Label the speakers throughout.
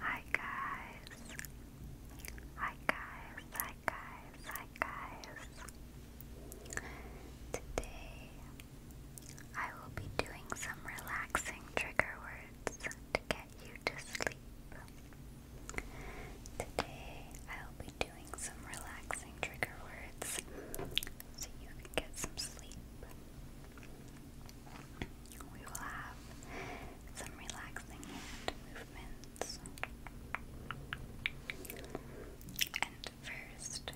Speaker 1: Hi guys. Hi guys. Hi guys. Hi guys. Today I will be doing some relaxing trigger words to get you to sleep. Today I will be doing some relaxing trigger words so you can get some sleep we will have some relaxing hand movements. And first,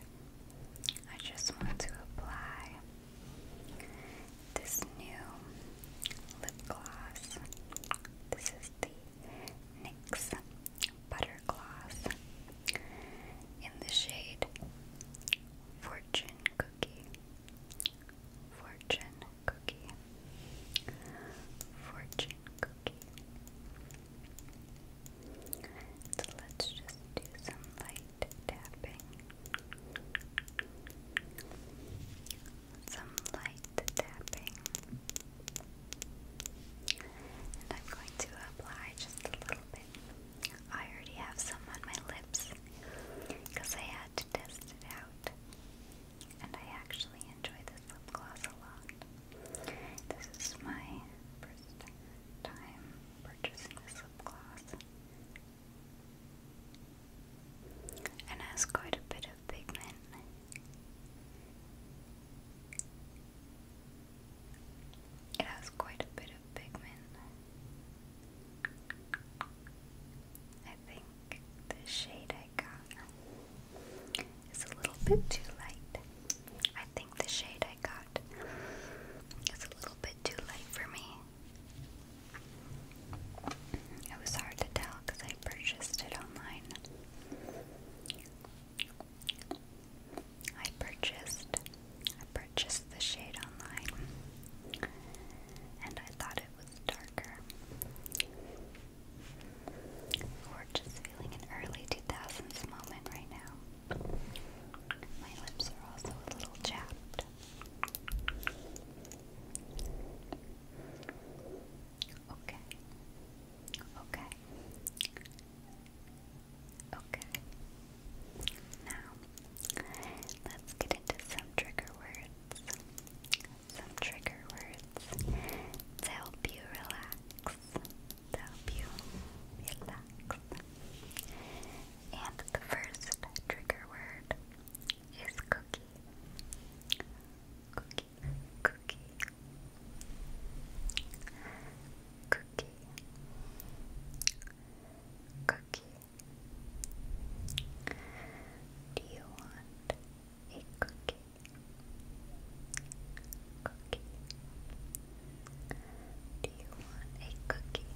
Speaker 1: I just want to apply this new lip gloss. This is the NYX Butter Gloss in the shade Fortune Cookie. Fortune cookie. Fortune cookie. let's just do some light tapping. Some light tapping. And I'm going to apply just a little bit. I already have some on my lips, because I had to test it out. And I actually enjoy this lip gloss a lot. This is my first time purchasing this lip gloss. And has quite a bit of pigment. It has quite a bit of pigment. I think the shade I got is a little bit too light. I think the shade I got is a little bit too light for me. It was hard to tell because I purchased it online. I purchased I purchased the shade online and I thought it was darker. We're just feeling an early 2000s moment right now. My lips are also a little chapped. Okay. Okay. Okay. Now, Let's get into some trigger words. Some trigger words to help you relax. To help you relax. And the first trigger word is cookie. Cookie, cookie, cookie, cookie, do you want a cookie? Cookie. Do you want a cookie?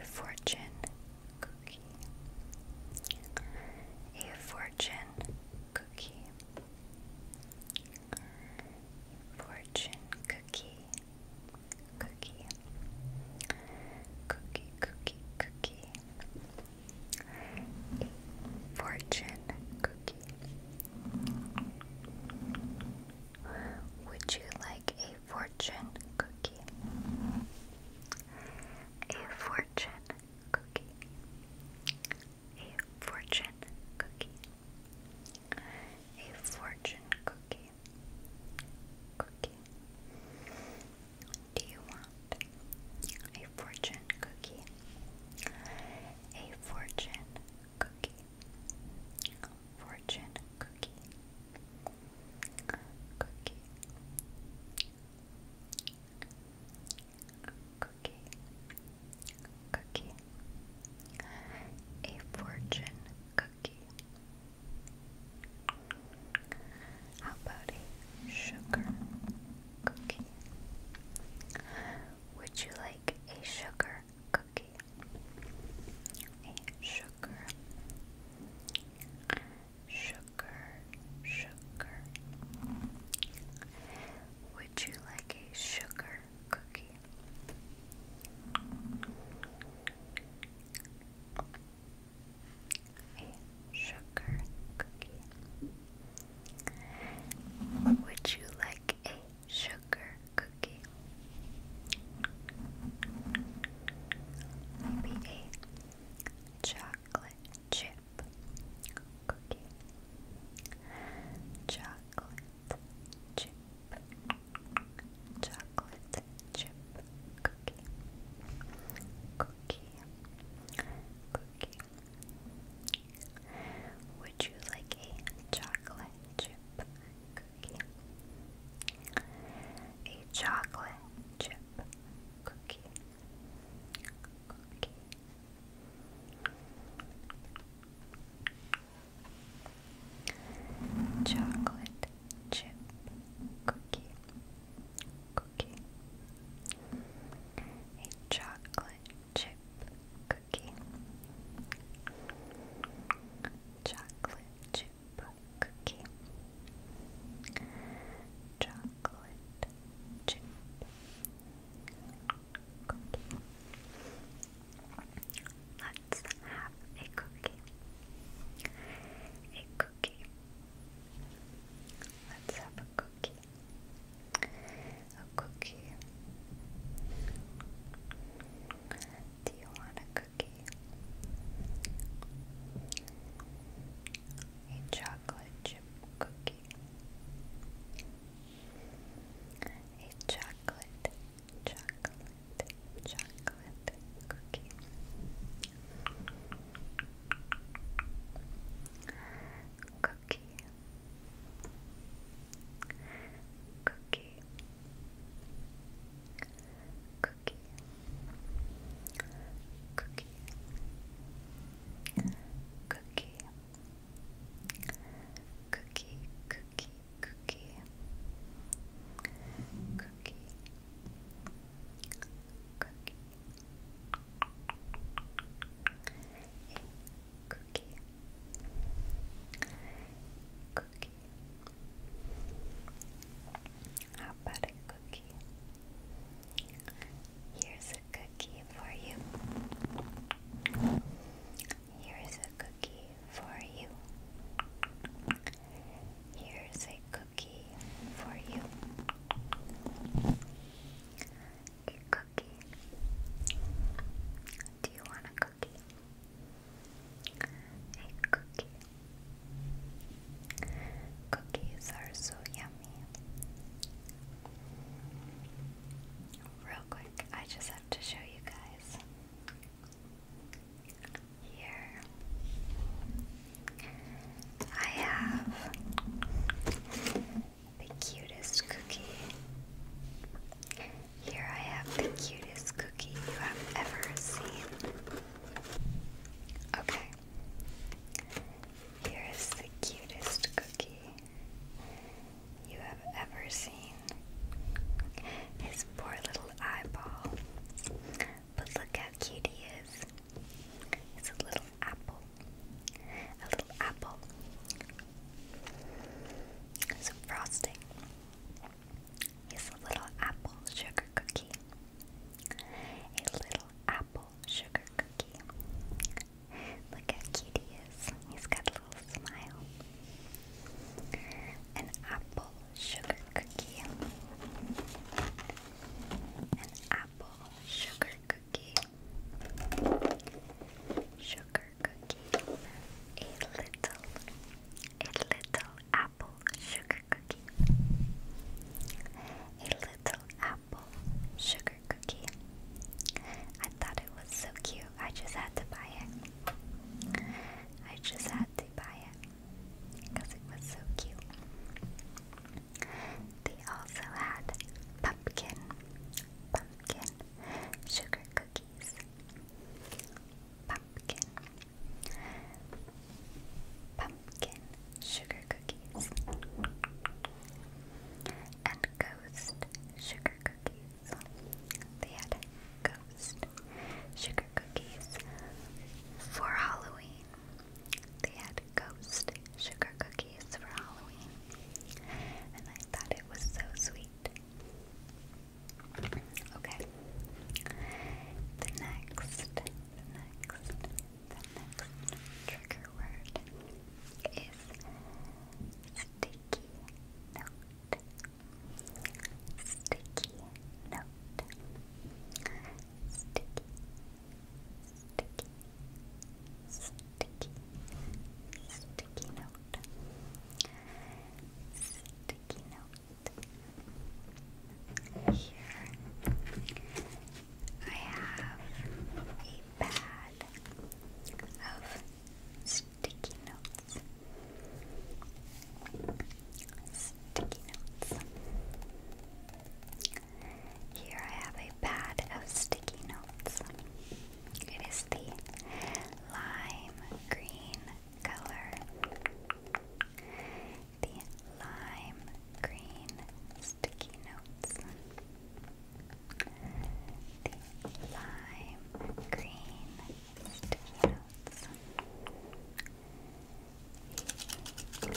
Speaker 1: A fortune cookie. A fortune cookie. Fortune cookie, cookie, cookie, cookie, cookie. A fortune cookie. Would you like a fortune cookie? A fortune cookie. A fortune cookie a fortune cookie. Cookie. Do you want a fortune cookie? A fortune cookie. Fortune cookie. Cookie. Cookie. Cookie. A fortune cookie? How about a sugar cookie? Would you like a sugar cookie? A sugar, sugar, sugar. Would you like a sugar cookie. A sugar cookie. Would you like a sugar cookie? Maybe a chocolate chip cookie. Chocolate chocolate chip cookie cookie cookie Would you like a chocolate chip cookie? A chocolate chip cookie Chocolate chip cookie. A chocolate chip cookie. Chocolate chip cookie. Chocolate chip cookie. Let's have a cookie. A cookie. Let's have a cookie. A cookie. Do you want a cookie? A chocolate chip cookie. A chocolate chocolate, chocolate cookie. Cookie, cookie, cookie, cookie, cookie, cookie, cookie, cookie, cookie, cookie, cookie, cookie, cookie. How about a cookie? Here's a cookie for you. Here's a cookie for you. Here's a cookie for you. A cookie. Do you want a cookie? A cookie. Cookies are so yummy. Real quick, I just have to show you guys. Here I have the cutest cookie. Here I have the cutest cookie you have ever seen. Okay. Here is the cutest cookie you have ever seen. His poor little eyeball. But look how cute he is. It's a little apple. A little apple. Some frosting. He's a little apple sugar cookie. A little apple sugar cookie. Look how cute he is. He's got a little smile an apple sugar cookie, an apple sugar cookie, sugar cookie, a little, a little apple sugar cookie, a little apple sugar cookie. I thought it was so cute, I just had to buy it. I just had to buy it because it was so cute. They also had pumpkin, pumpkin sugar cookies, pumpkin, pumpkin sugar cookies, and ghost sugar cookies. They had ghost sugar cookies for Halloween. They had ghost sugar cookies for Halloween. And I thought it was so sweet. Okay. The next, the next, the next trigger word is sticky note. Sticky note. Sticky. Sticky. Sticky. Sticky note. Sticky note. Here I have a bag of Sticky notes. Sticky notes. Here I have a pad of sticky notes. It is the lime green color. The lime green sticky notes. The lime green sticky Yes. Lime.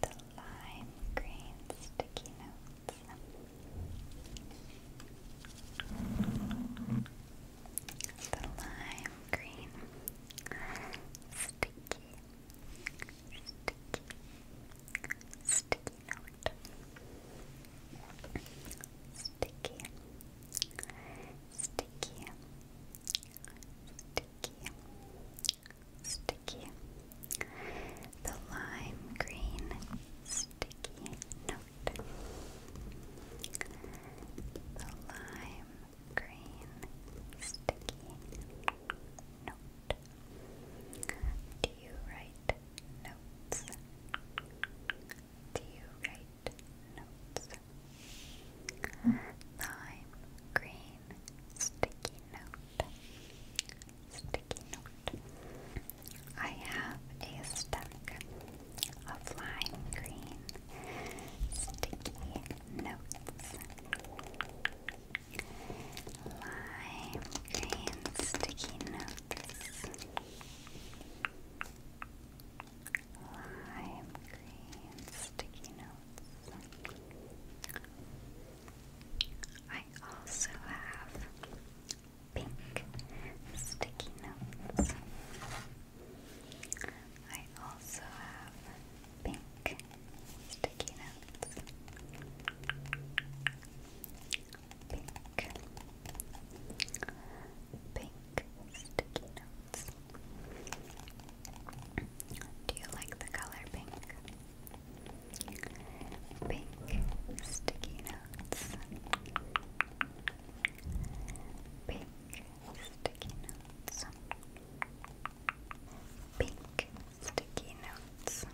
Speaker 1: The lime green sticky notes. The lime green sticky sticky note, sticky, sticky, sticky, sticky, the lime green sticky note, the lime green sticky note. Do you write notes? Do you write notes? Lime green sticky note. Sticky note. I have a stack of lime green sticky notes. Lime green sticky notes. Lime green sticky notes. I also have pink sticky notes. I also have pink sticky notes pink, pink sticky notes. Do you like the color pink? Pink sticky notes. Pink sticky notes. Pink sticky notes.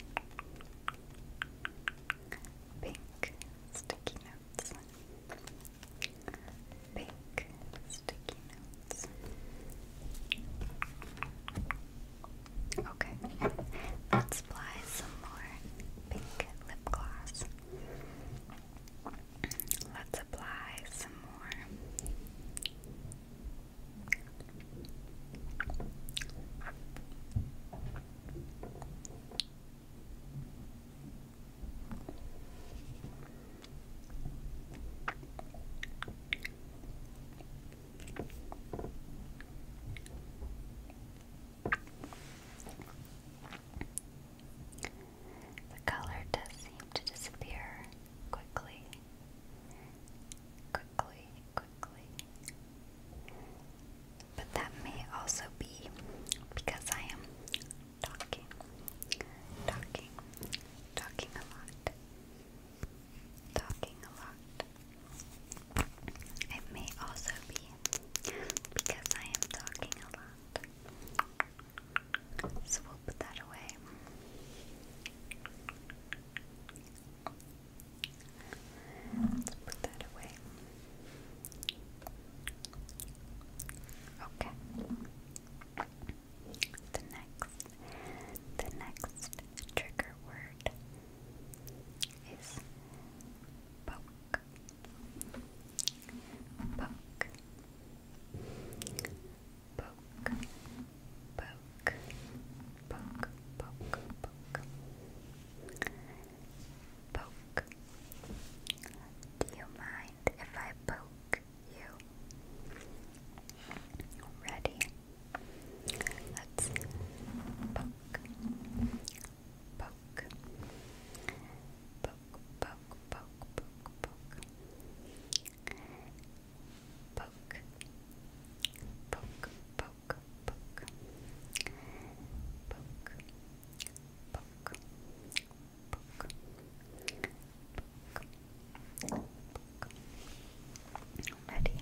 Speaker 1: Pink sticky notes. Pink sticky notes. Okay, let's apply some more pink lip gloss. Let's apply some more the color does seem to disappear quickly, quickly, but that may also be because I am talking, talking, talking a lot, talking a lot. It may also be because I am talking a lot. So we'll put that away. Let's put that away. Okay. The next, the next trigger word is poke. Poke. Poke. Poke poke, poke, poke, poke, poke. Do you mind if I poke you? Ready? Let's poke, poke, poke, poke, poke, poke, poke. Poke, poke, poke, poke, poke, Ready?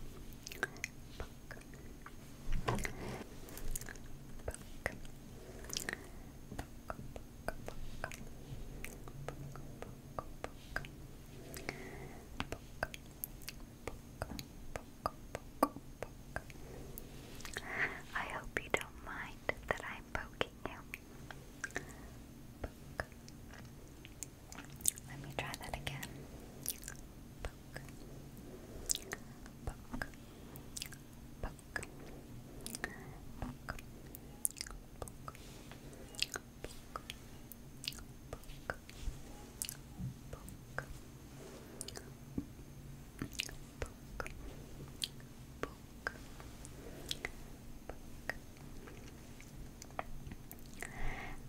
Speaker 1: poke, I hope you don't mind that I'm poking you. Let me try that again. Poke.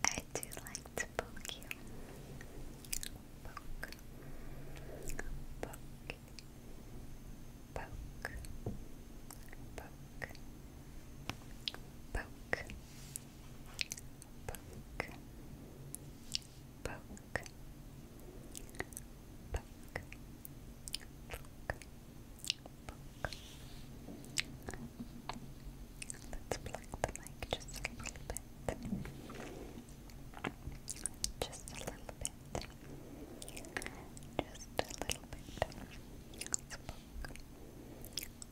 Speaker 1: I do like to poke you. Poke. Poke. Poke. Poke. Poke poke, poke, Let's pluck the mic just a little bit. Just a little bit. Just a little bit.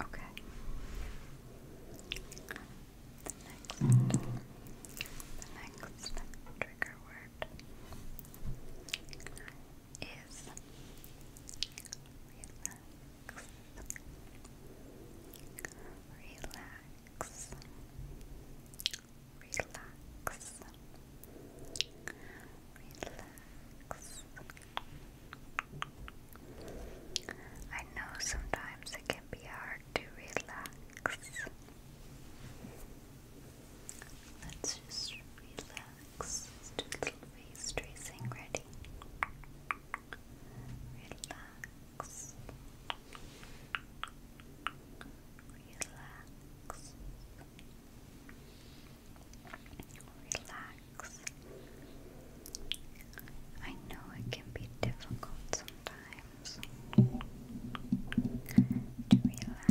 Speaker 1: Okay. The next, trigger word is relax. Relax relax, relax. I know sometimes it can be hard to relax. Let's just relax. let face tracing. Ready? Relax relax, relax, I know it can be difficult sometimes to relax. Relax. Relax.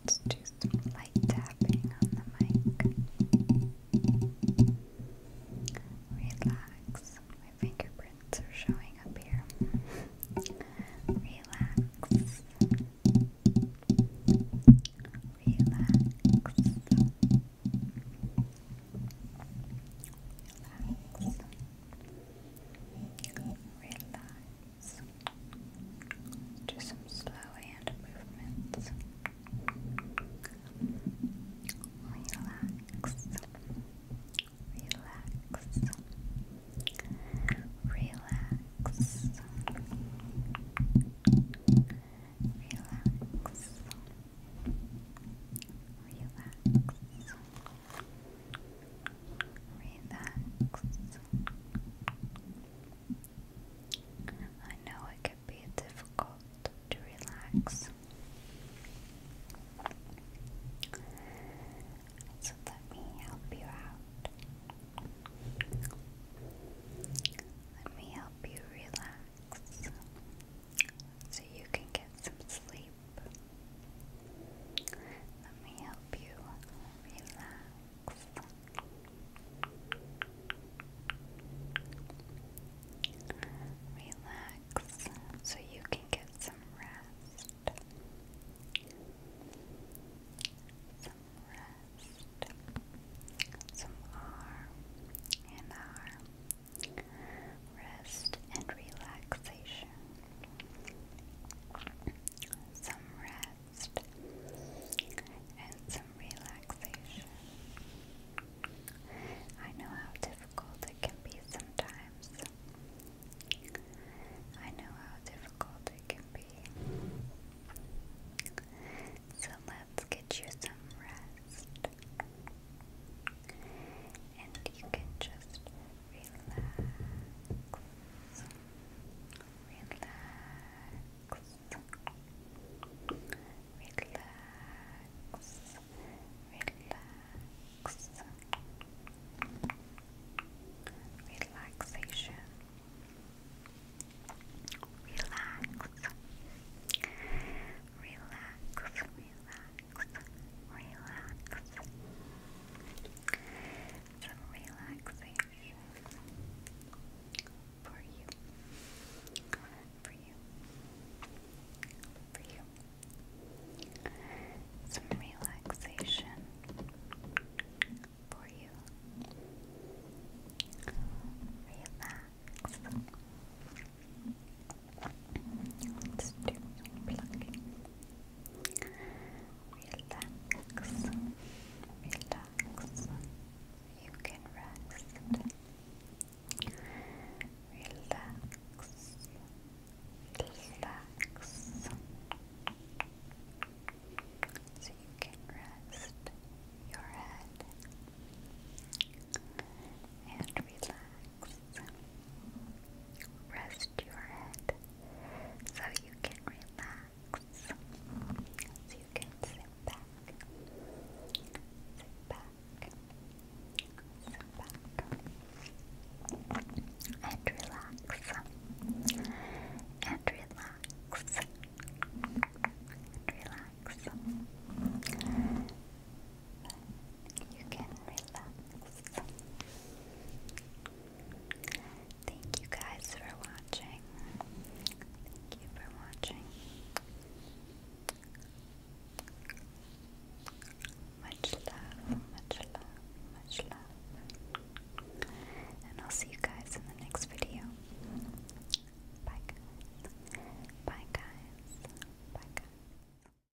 Speaker 1: Let's do tapping on the mic. Relax. My fingerprints are showing up here. Relax. Relax. Relax. Relax. Do some slow hand movements. Relax. Relax. Relax. Relax. Relax. Relax. I know it can be difficult to relax. So let me help you out. Let me help you relax so you can get some sleep sleep. Let me help you relax. Relax so you can get some rest. Some rest. Some arm and arm rest and relaxation. Some rest and some relaxation. I know how difficult it can be sometimes. I know how difficult it can be. So let's get you some rest. And you can just relax, relax, relax, relaxation. Relax, relax, relax relax. Some relaxation for you, for you, for you. Some relaxation for you. Relax. Let's do plucking. Relax, relax. You can rest. Relax, relax. So you can rest your head and relax. Rest your head so you can relax. So you can sit back. Sit back. Sit back. And relax. And relax. And relax. Relax. You can relax. Thank you guys for watching. Thank you for watching. Much love, much love, much love. And I'll see you guys in the next video. Bye guys. Bye guys. Bye guys.